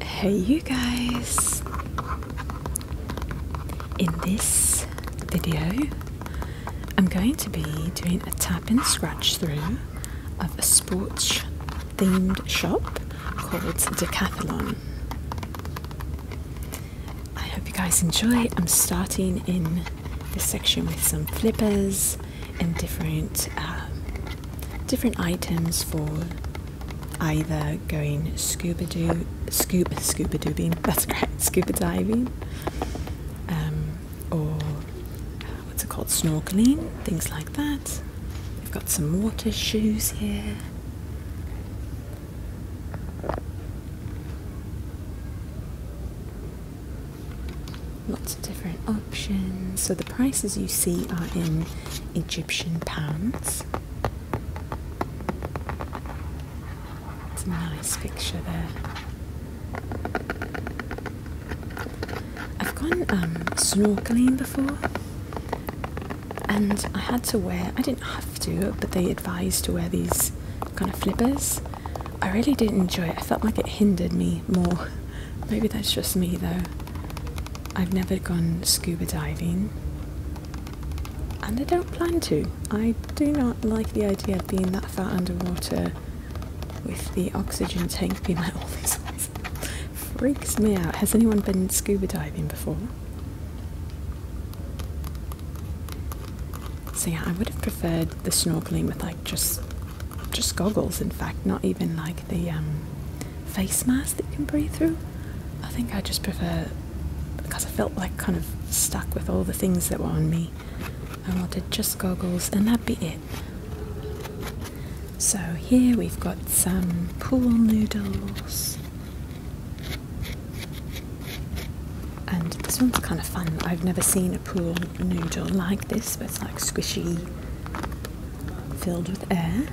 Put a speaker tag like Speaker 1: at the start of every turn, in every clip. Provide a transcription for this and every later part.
Speaker 1: Hey you guys! In this video I'm going to be doing a tap and scratch through of a sports themed shop called Decathlon. I hope you guys enjoy. I'm starting in this section with some flippers and different um, different items for either going scuba do scuba scuba doobing that's right scuba diving um, or uh, what's it called snorkeling things like that we've got some water shoes here Lots of different options. So the prices you see are in Egyptian pounds. It's a nice picture there. I've gone um, snorkeling before and I had to wear, I didn't have to, but they advised to wear these kind of flippers. I really didn't enjoy it. I felt like it hindered me more Maybe that's just me though. I've never gone scuba diving and I don't plan to. I do not like the idea of being that far underwater with the oxygen tank being like all these ways. Freaks me out. Has anyone been scuba diving before? So yeah, I would have preferred the snorkeling with like just just goggles, in fact, not even like the um, face mask that you can breathe through. I think I just prefer because I felt like kind of stuck with all the things that were on me. I wanted just goggles, and that'd be it. So, here we've got some pool noodles. And this one's kind of fun. I've never seen seen pool noodle like this, but it's like squishy, filled with air.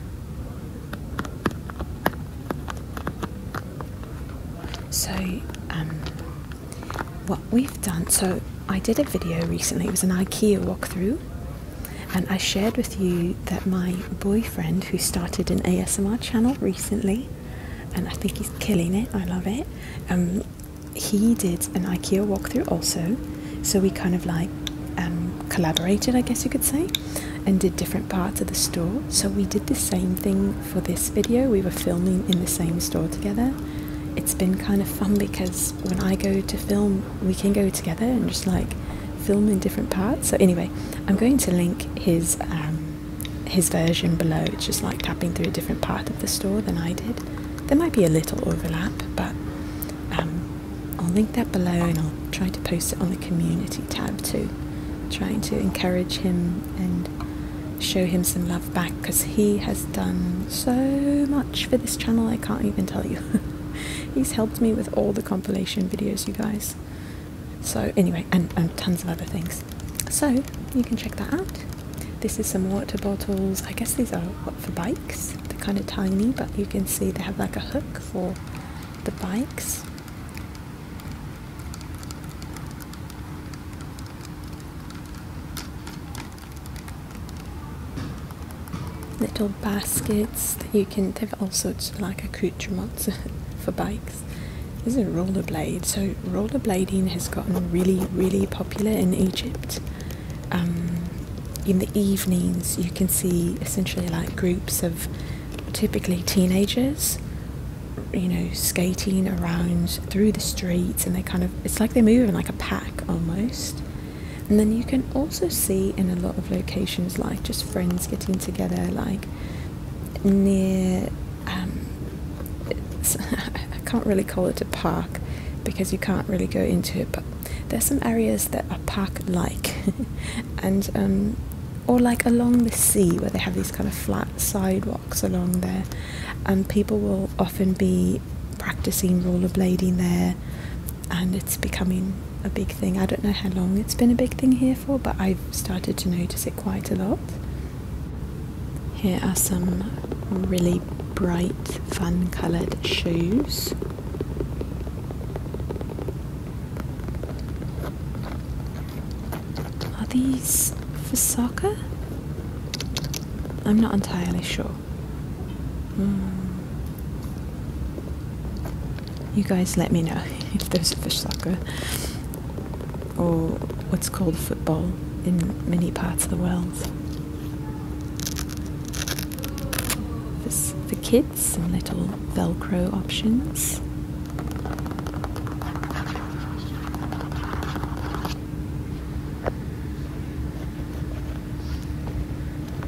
Speaker 1: So, um, what we've done, so I did a video recently, it was an IKEA walkthrough, and I shared with you that my boyfriend, who started an ASMR channel recently, and I think he's killing it, I love it. Um, he did an IKEA walkthrough also, so we kind of like um, collaborated, I guess you could say, and did different parts of the store. So we did the same thing for this video. We were filming in the same store together. It's been kind of fun because when I go to film, we can go together and just like film in different parts. So anyway, I'm going to link his um, his version below. It's just like tapping through a different part of the store than I did. There might be a little overlap, but um, I'll link that below and I'll try to post it on the community tab too. Trying to encourage him and show him some love back because he has done so much for this channel, I can't even tell you. He's helped me with all the compilation videos, you guys. So, anyway, and, tons of other things. So, you can check that out. This is some water bottles. I guess these are for bike they're kind of tiny, but you can see they have like a hook for the bikes. Little baskets that you can, have all sorts of like accoutrements for bikes. This is a rollerblade. So rollerblading has gotten really, really popular in Egypt. Um, in the evenings, you can see essentially like groups of typically teenagers, you know, skating around through the streets, and they kind of it's like they move in like a pack almost. And then you can also see in a lot of locations like just friends getting together, like near. Um, I can't really call it a park, because you can't really go into it. But there's some areas that are park-like, and um, or like along the sea where they have these kind of flat sidewalks along there, and people will often be practicing rollerblading there, and it's becoming a big thing. I don't know how long it's been a big thing here for, but I've started to notice it quite a lot. Here are some really bright, fun coloured shoes. Are these for soccer? I'm not entirely sure. Hmm. You guys let me know if those are for soccer or what's called football in many parts of the world. This for kids, some little Velcro options.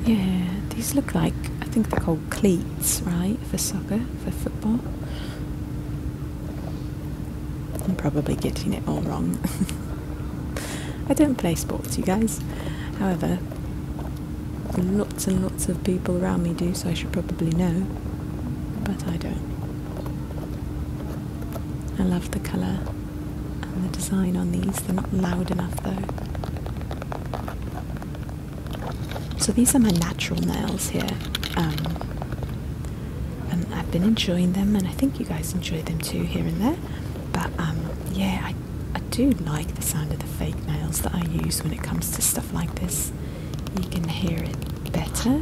Speaker 1: Yeah, these look like, I think they're called cleats, right, for soccer, for football. I'm probably getting it all wrong. I don't play sports, you guys. However, lots and lots of people around me do, so I should probably know. But I don't. I love the colour and the design on these. They're not loud enough though. So these are my natural nails here. Um, and I've been enjoying them, and I think you guys enjoy them too here and there. But um, yeah, I, do like the sound of the fake nails that I use when it comes to stuff like this. You can hear it better,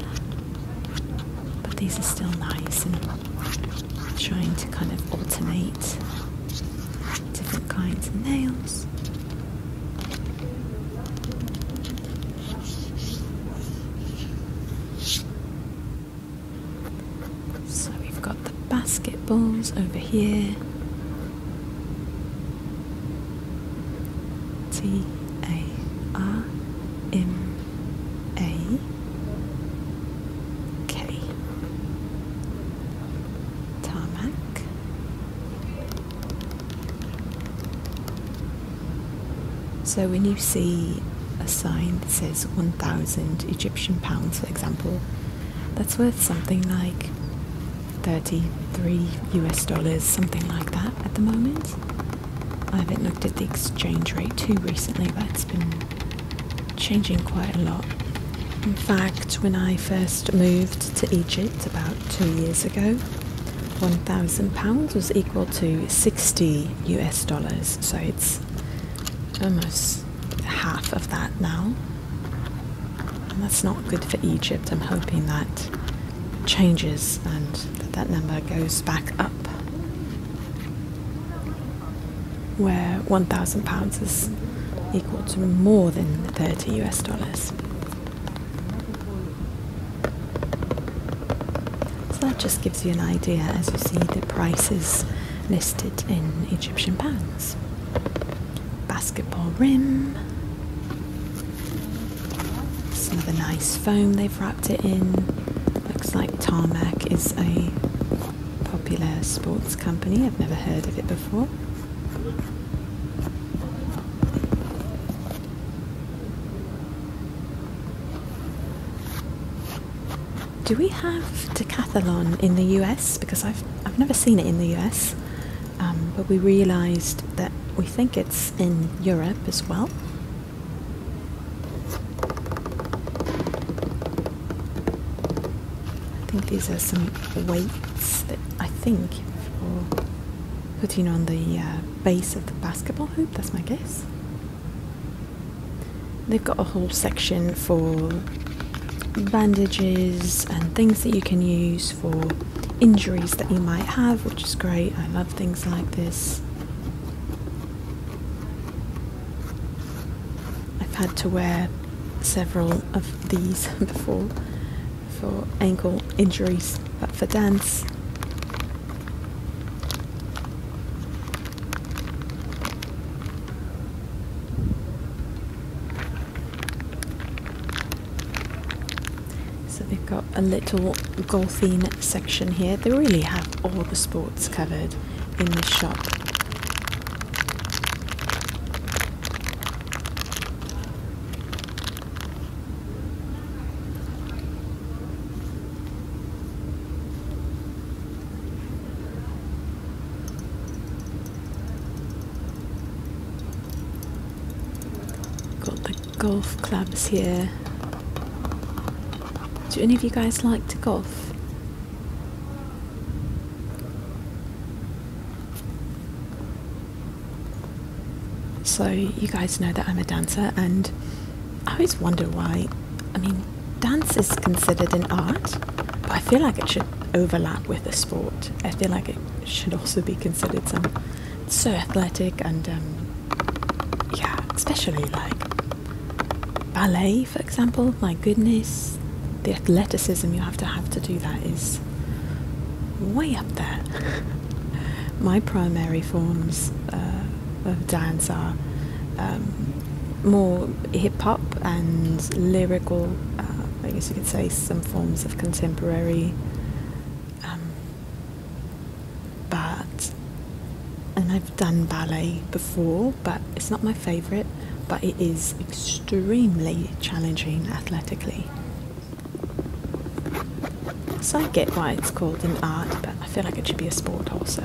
Speaker 1: but these are still nice and trying to kind of alternate different kinds of nails. So we've got the basketballs over here. T A R M A K tarmac so when you see a sign that says 1000 Egyptian pounds, for example, that's worth something like 33 US dollars, something like that at the moment. I haven't looked at the exchange rate too recently, but it's been changing quite a lot. In fact, when I first moved to Egypt about two years ago, £1,000 was equal to 60 US dollars, so it's almost half of that now. And that's not good for Egypt. I'm hoping that changes and that, that number goes back up where 1,000 pounds is equal to more than 30 US dollars. So that just gives you an idea as you see the prices listed in Egyptian pounds. Basketball rim. It's another nice foam they've wrapped it in. Looks like Tarmac is a popular sports company. I've never heard of it before. Do we have decathlon in the US? Because I've I've never seen it in the US, um, but we realised that we think it's in Europe as well. I think these are some weights that I think for putting on the uh, base of the basketball hoop. That's my guess. They've got a whole section for bandages and things that you can use for injuries that you might have, which is great. I love things like this. I've had to wear several of these before for ankle injuries, but for dance, so they've got a little golfing section here. They really have all the sports covered in this shop. Got the golf clubs here. Do any of you guys like to golf? So you guys know that I'm a dancer and I always wonder why I mean, dance is considered an art, but I feel like it should overlap with a sport. I feel like it should also be considered some so athletic and um, yeah, especially like ballet, for example. My goodness, the athleticism you have to have to do that is way up there. My primary forms uh, of dance are um, more hip hop and lyrical. Uh, I guess you could say some forms of contemporary. Um, but and I've done ballet before, but it's not my favorite. But it is extremely challenging athletically. So I get why it's called an art, but I feel like it should be a sport also.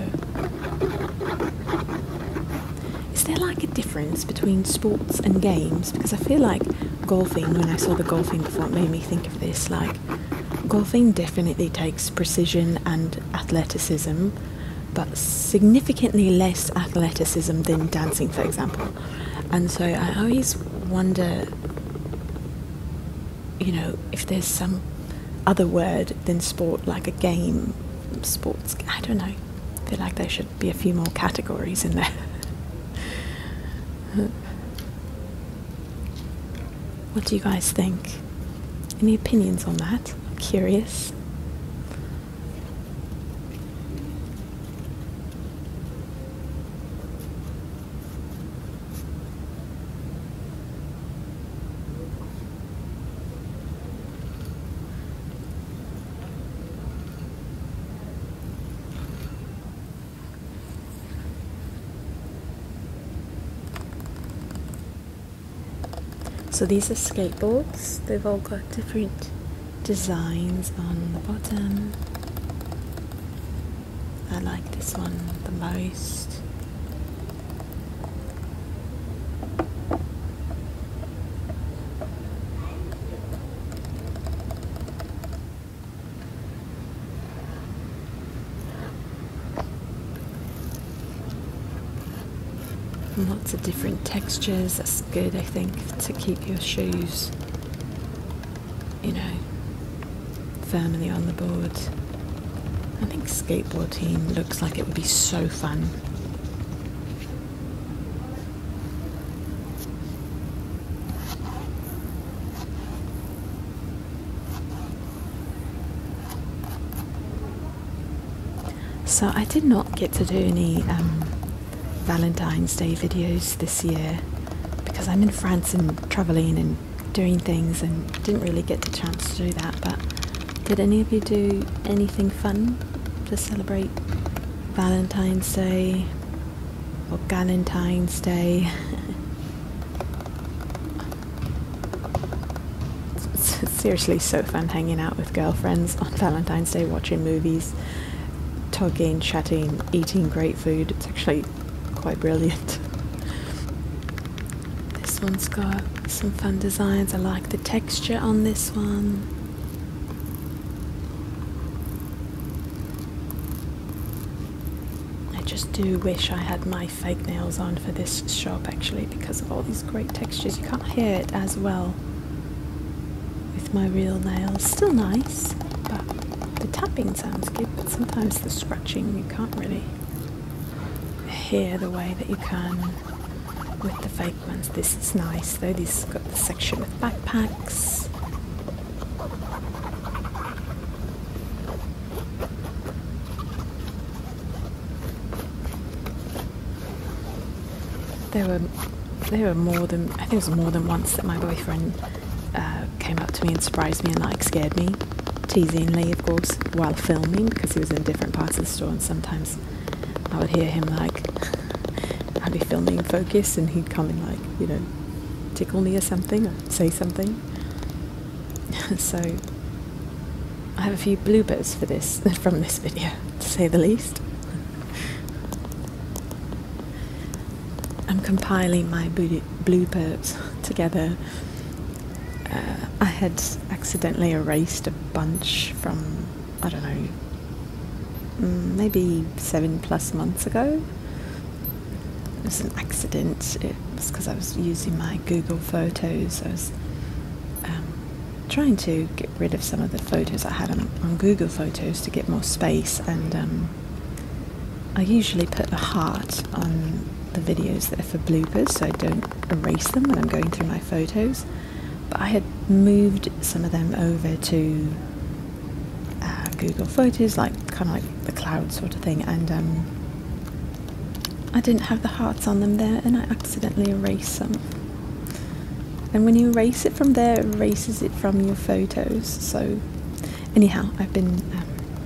Speaker 1: Is there like a difference between sports and games? Because I feel like golfing, when I saw the golfing before, it made me think of this. Like, golfing definitely takes precision and athleticism, but significantly less athleticism than dancing, for example. And so I always wonder you know, if there's some other word than sport, like a game, sports, I don't know. I feel like there should be a few more categories in there. what do you guys think? Any opinions on that? curious. So these are skateboards, they've all got different designs on the bottom. I like this one the most. Lots of different textures, that's good I think to keep your shoes, you know, firmly on the board. I think skateboard team looks like it would be so fun. So I did not get to do any um, Valentine's Day videos this year because I'm in France and travelling and doing things and didn't really get the chance to do that. But did any of you do anything fun to celebrate Valentine's Day or Galentine's Day? seriously so fun hanging out with girlfriends on Valentine's Day, watching movies, talking, chatting, eating great food. It's actually quite brilliant. This one's got some fun designs. I like the texture on this one. I just do wish I had my fake nails on for this shop actually because of all these great textures. You can't hear it as well with my real nails. Still nice, but the tapping sounds good, but sometimes the scratching you can't really here, the way that you can with the fake ones. This is nice though, this has got the section with backpacks. There were there were more than I think it was more than once that my boyfriend uh, came up to me and surprised me and like scared me, teasingly, of course, while filming because he was in different parts of the store. And sometimes I would hear him like, I'd be filming focus, and he'd come and like, you know, tickle me or something, or say something. so I have a few bloopers for this from this video, to say the least. I'm compiling my bloopers together uh, I had accidentally erased a bunch from, I don't know, mm, maybe seven plus months ago. It was an accident. It was because I was using my Google Photos. I was um, trying to get rid of some of the photos I had on, on Google Photos to get more space, and um, I usually put a heart on the videos that are for bloopers so I don't erase them when I'm going through my photos, but I had moved some of them over to uh, Google Photos, like kind of like the cloud sort of thing, and um, I didn't have the hearts on them there and I accidentally erased them. And when you erase it from there, it erases it from your photos, so Anyhow, I've been, um,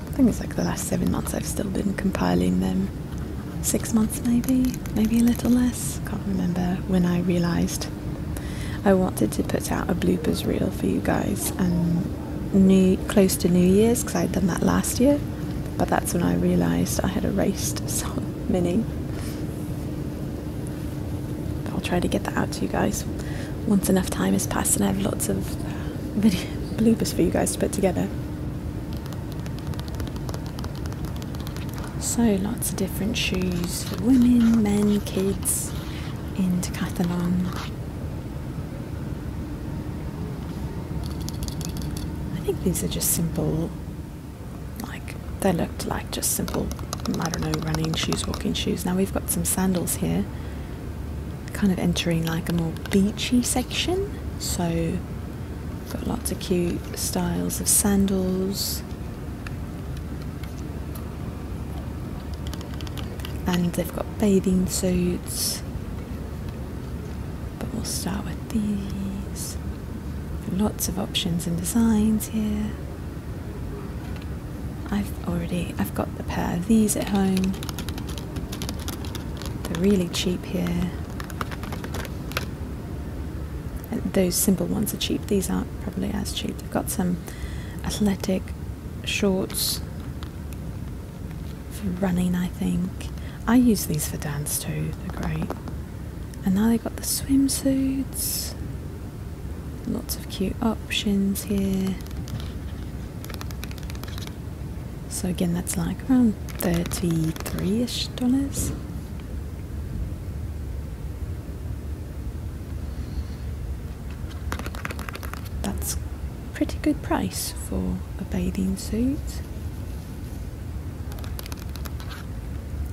Speaker 1: I think it's like the last seven months I've still been compiling them. Six months maybe, maybe a little less. Can't remember when I realised. I wanted to put out a bloopers reel for you guys and new, close to New Year's because I'd done that last year, but that's when I realised I had erased so many. But I'll try to get that out to you guys once enough time has passed and I have lots of video bloopers for you guys to put together. So lots of different shoes for women, men, kids into Decathlon. I think these are just simple, like they looked like just simple, I don't know, running shoes, walking shoes. Now we've got some sandals here kind of entering like a more beachy section. So, got lots of cute styles of sandals. And they've got bathing suits. But we'll start with these. Lots of options and designs here. I've already I've got the pair of these at home they're really cheap here. Uh, those simple ones are cheap. These aren't probably as cheap. They've got some athletic shorts for running, I think. I use these for dance too. They're great. And now they've got the swimsuits. Lots of cute. Oh, options here. So again, that's like around 33-ish dollars. That's pretty good price for a bathing suit.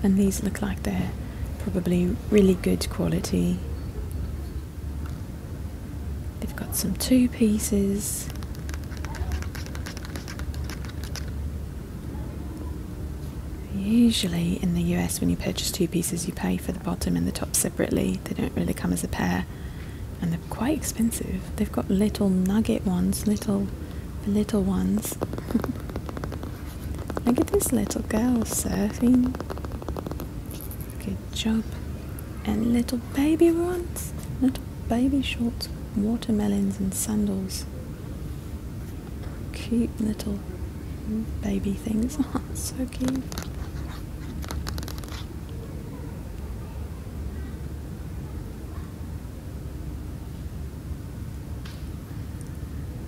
Speaker 1: And these look like they're probably really good quality They've got some two pieces. Usually in the US when you purchase two pieces you pay for the bottom and the top separately. They don't really come as a pair and they're quite expensive. They've got little nugget ones, little little ones. Look at this little girl surfing job and little baby ones, little baby shorts, watermelons and sandals. Cute little baby things. Oh, so cute.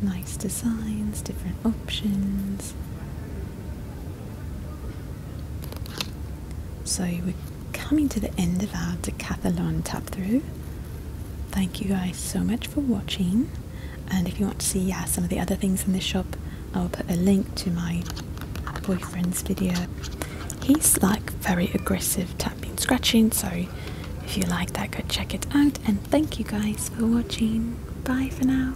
Speaker 1: Nice designs, different options. So we're coming to the end of our decathlon tap through. Thank you guys so much for watching. And if you want to see yeah, some of the other things in the shop, I'll put a link to my boyfriend's video. He's like very aggressive tapping scratching, so if you like that, go check it out. And thank you guys for watching. Bye for now.